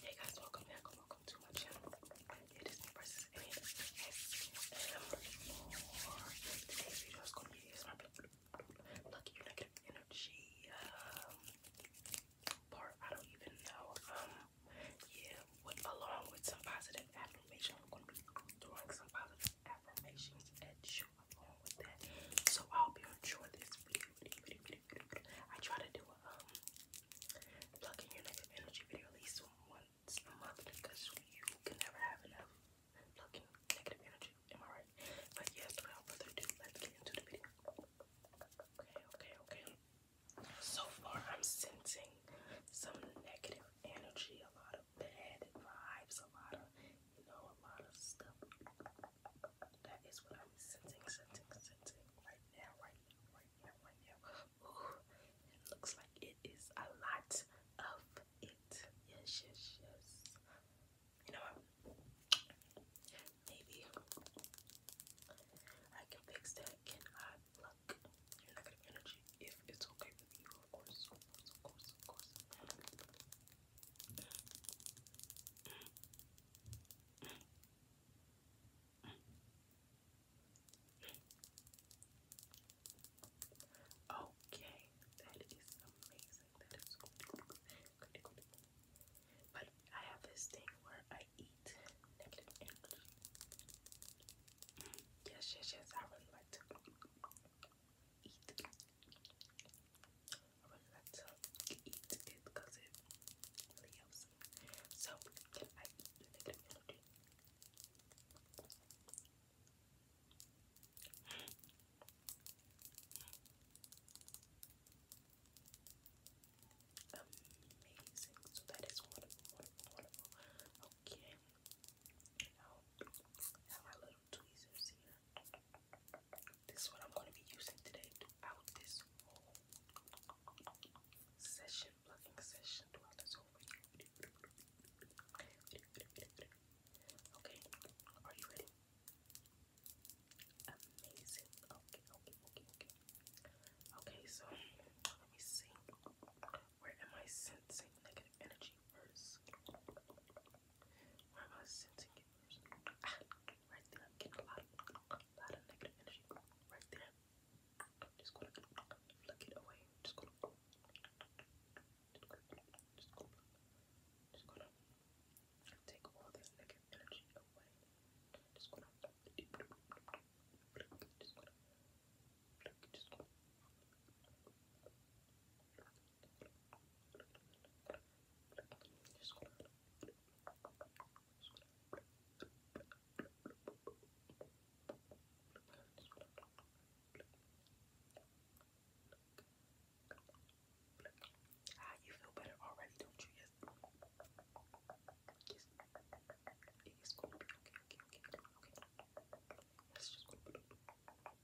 Hey guys, welcome back and welcome to my channel. It is me versus ASMR. Today's video is going to be ASMR Lucky You Negative Energy um, part. I don't even know. Um, yeah, along with some positive affirmation, I'm going to be doing some positive affirmations at you along with that. So I hope you enjoy this video I try to do a um, your negative energy video at least once a month because you can never have enough plug negative energy. Am I right? But yes, without further ado, let's get into the video. Okay, okay, okay. So far I'm sensing some negative energy, a lot of bad vibes, a lot of you know, a lot of stuff. That is what I'm sensing, sensing, sensing right now, right now, right now, right now. Ooh, it looks like it is a lot of it. Yes, yes, yes. You know Maybe I can fix that. Can I pluck your negative energy if it's okay with you? Of course, of course, of course, of course. Okay, that is amazing. That is good, But I have this thing where I eat Yes, yes, yes. I really like to eat I'm going to eat it because it really helps. So, can I the negative energy? Amazing. So that is wonderful, wonderful, wonderful. Okay. I have my little tweezers here. This is what I'm going to be using today throughout this whole session, plucking session throughout this whole video. Okay, are you ready? Amazing. Okay, okay, okay, okay. Okay, so let me see. Where am I sensing negative energy first? Where am sensing it? Ah, right there. getting a lot, of, lot of negative energy. Right there. Just gonna flick it away. Just gonna, just gonna, just gonna, take all this negative energy away. just gonna, just gonna, just gonna just ah, you feel better already, don't you? Yes. It's gonna be okay, okay, okay. Okay.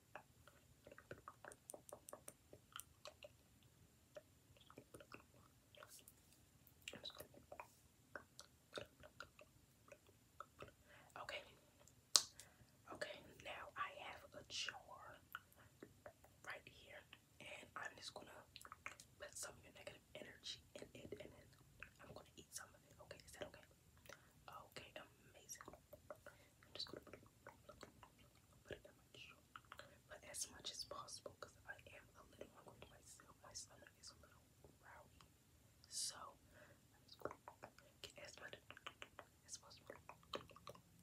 Okay, now I have a jar right here, and I'm just gonna put some of your negative energy in it, and I'm gonna eat some of it. Okay, is that okay? Okay, amazing. I'm just gonna put it, put it in my throat, as much as possible I am a little hungry myself. My stomach is a little growly, so I'm just gonna as much as possible.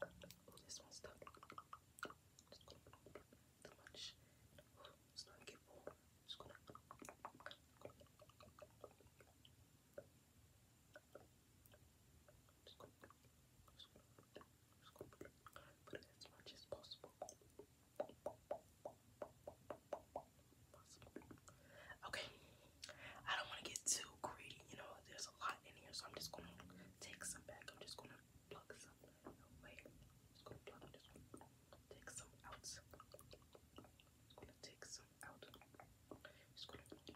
Oh, this one's done. Just much. Oh, it's starting to get warm scoop, Okay, I don't want to get too greedy, you know, there's a lot in here, so I'm just gonna take some back. I'm just gonna plug some away. Just gonna plug, take some out. gonna take some out. Just gonna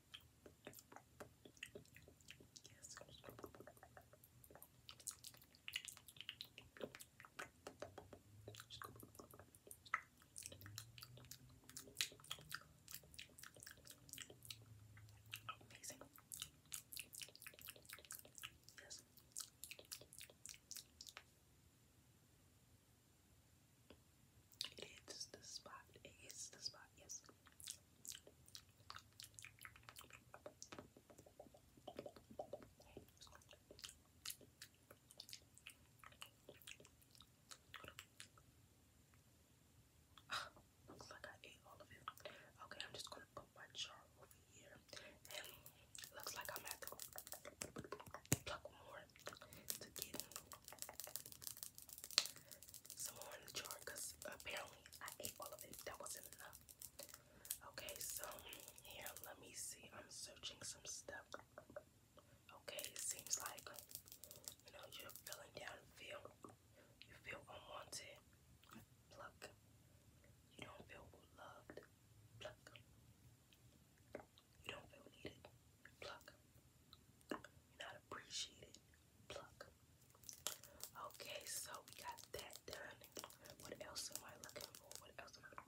Amazing. Yes. It is the spot. It the spot. Yes. Looks like I ate all of it. Okay, I'm just gonna put my jar over here. And looks like I'm at the pluck more to get some more in the jar because apparently I ate all of it. That wasn't enough. Okay, so here, let me see. I'm searching some stuff. Okay, it seems like you know you're feeling down, feel you feel unwanted. Pluck. You don't feel loved. Pluck. You don't feel needed. Pluck. You're not appreciated. Pluck. Okay, so we got that done. What else am I looking for? What else am I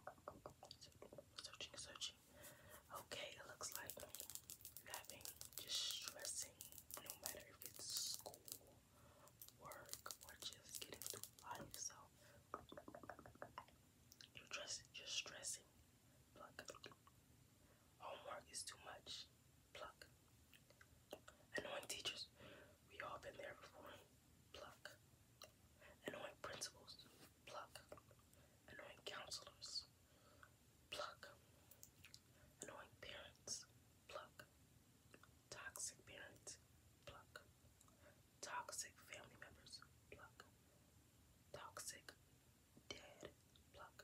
searching, searching? Okay, it looks like you're having distressing, no matter if it's school, work, or just getting through life. So you're stressing, you're stressing, pluck. Homework oh, is too much, pluck. Annoying teachers, we all been there before, pluck. Annoying principals, pluck. Annoying counselors, pluck. Annoying parents, pluck. Toxic parents, pluck. Toxic family members, pluck. Toxic dead, pluck.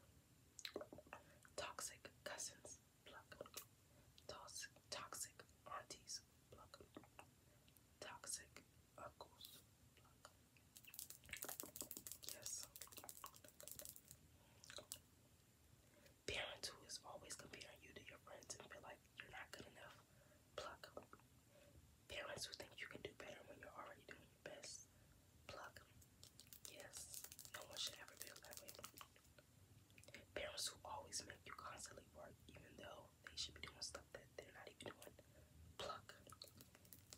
Toxic cousins, pluck. Toxic, toxic aunties, pluck. Toxic uncles, pluck. Yes. Parents who is always comparing you to your friends and feel like you're not good enough, pluck. Parents who think you can do better when you're already doing your best. Pluck. Yes, no one should ever feel that way. Parents who always make you constantly work, even though they should be doing stuff that they're not even doing. Pluck.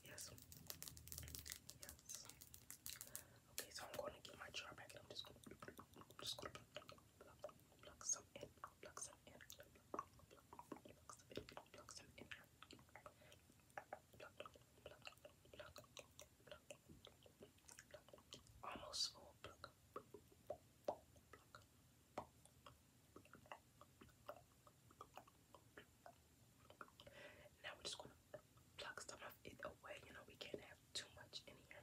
Yes. Yes. Okay, so I'm going to get my jar back and I'm just going to just pluck, pluck, pluck some in, pluck some in, pluck, pluck, pluck some in, pluck some in. Almost full. Now we're just gonna pluck some away. You know we can't have too much in here.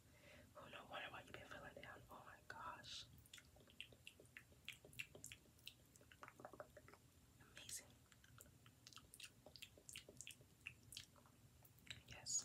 Oh, no wonder why you've been feeling down. Oh my gosh. Amazing. Yes. Yes.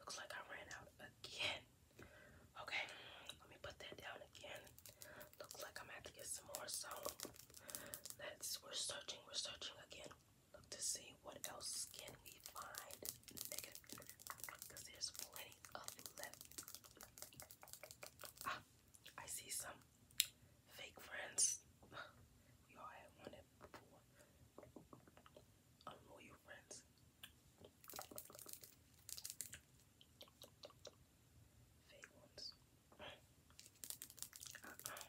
Looks like I ran out again. Okay, let me put that down again. Looks like I'm gonna have to get some more. So let's we're searching, we're searching again look to see what else can we find negative because there's plenty of left. Ah, I see some fake friends. We all had one before. Unloyal friends. Fake ones. Uh-uh.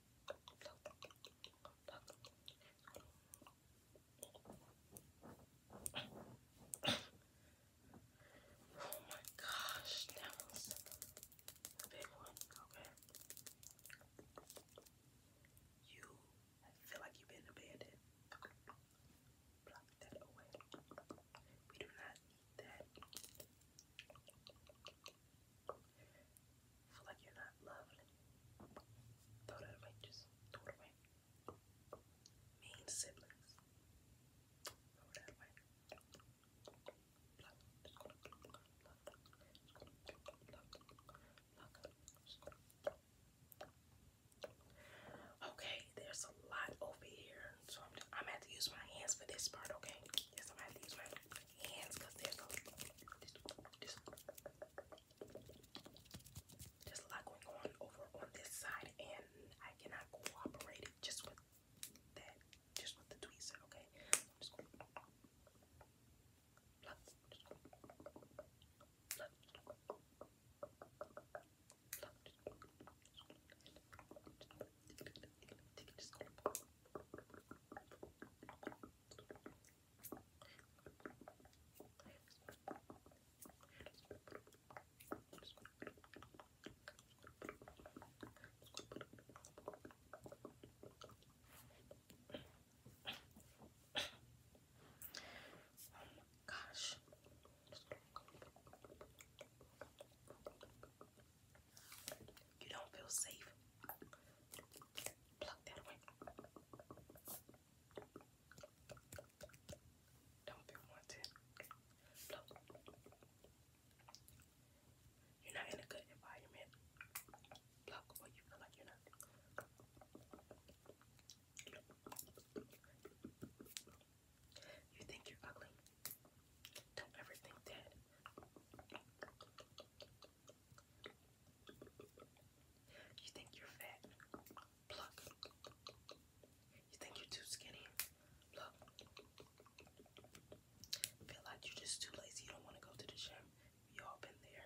Oh my gosh, that was a big one. Okay. You feel like you've been abandoned. We do not that. Feel like you're not loved. Throw that away, just throw it away. Mean siblings. Throw that away. Okay, there's a lot over here, so I'm, I'm gonna have to use my hands for this part. Okay, yes, I'm have to use my hands because a lot going on over on this side and I cannot cooperate just with that, just with the tweezer, okay? you can, you can, you can just call it pop. Oh my gosh. Just you don't feel safe. Don't feel wanted. You're not in a good environment. You think you're ugly. Don't ever think that you think you're fat. Pluck. You think you're too skinny. Pluck. Feel like you're just too lazy. You don't want to go to the gym. We all been there.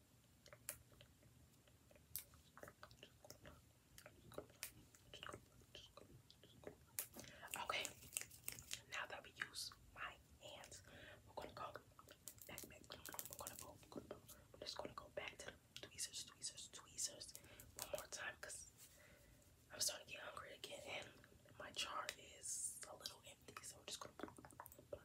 Okay, now that we use my hands, we're gonna go back, We're gonna go, we're just gonna go back to the tweezers, tweezers, tweezers one more time because I'm starting to get hungry again and my jar is a little empty, so we're just gonna pluck, pluck, pluck, pluck,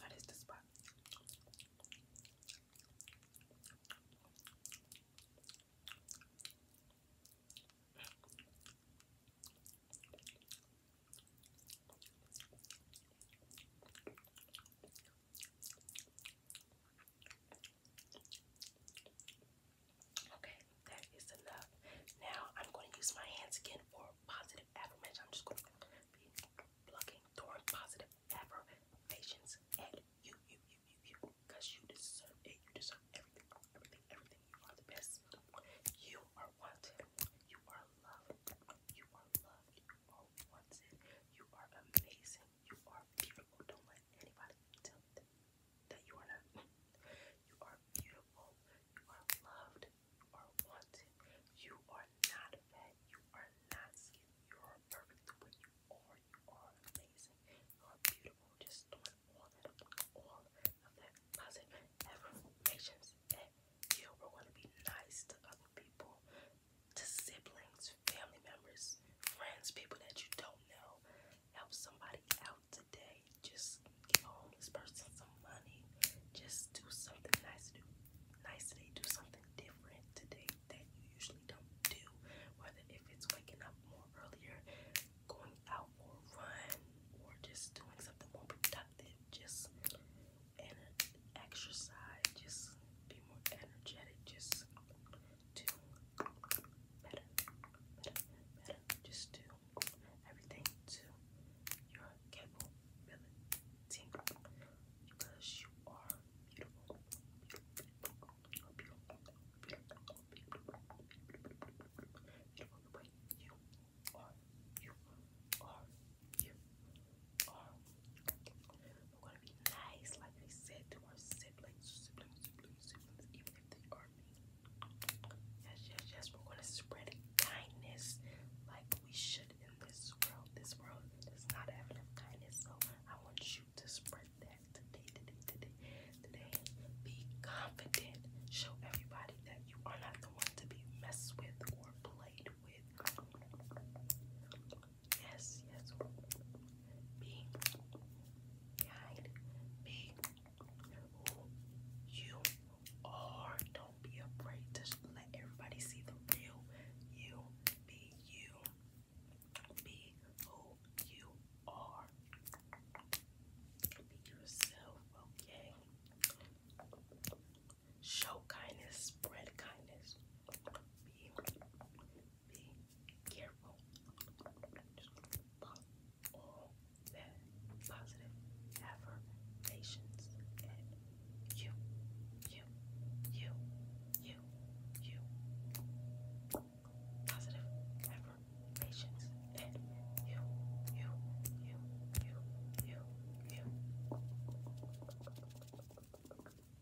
That is the spot. Okay, that is enough. Now I'm going to use my hands again for positive affirmation. I'm just going to be plugging toward positive affirmations at you, you, you, you, you, because you deserve it. You deserve everything, everything, everything. You are the best. You are wanted. You are loved. You are loved. You are wanted. You are amazing. You are beautiful. Don't let anybody tell you that you are not. You are beautiful. You are loved. You are wanted. You are not fat. You are not skinny. You are perfect the way you are. You are amazing. You are beautiful. Just throwing all that all of that positive affirmations at you. We're going to be nice to other people, to siblings, family members, friends, people that you don't know help somebody out today. Just give a homeless person some money. Just do something nice to do. Nice today. Do something different today that you usually don't do. Whether if it's waking up more earlier, going out for a run, or just doing something more productive. Just and exercise. Just be more energetic. Just do better, better, better. Just do everything to your capability because you are beautiful, beautiful, you're beautiful, beautiful, beautiful, beautiful the way you are, you are, you are. I'm be nice, like we said, to our siblings, siblings, siblings, siblings, even if they are mean. Yes, yes, yes, we're going to spread kindness like we should in this world. This world does not have enough kindness, so I want you to spread that today, today, today, today. Be confident. Show everybody that you are not the one to be messed with or played with. Yes, yes. Be kind. Be who you are. Don't be afraid to let everybody see the real you. Be you. Be who you are. Be yourself, okay? Show kindness, spread kindness. Be be careful. Just love all that positive affirmations and you, you, you, you, you. Positive affirmations and you, you, you, you, you, you.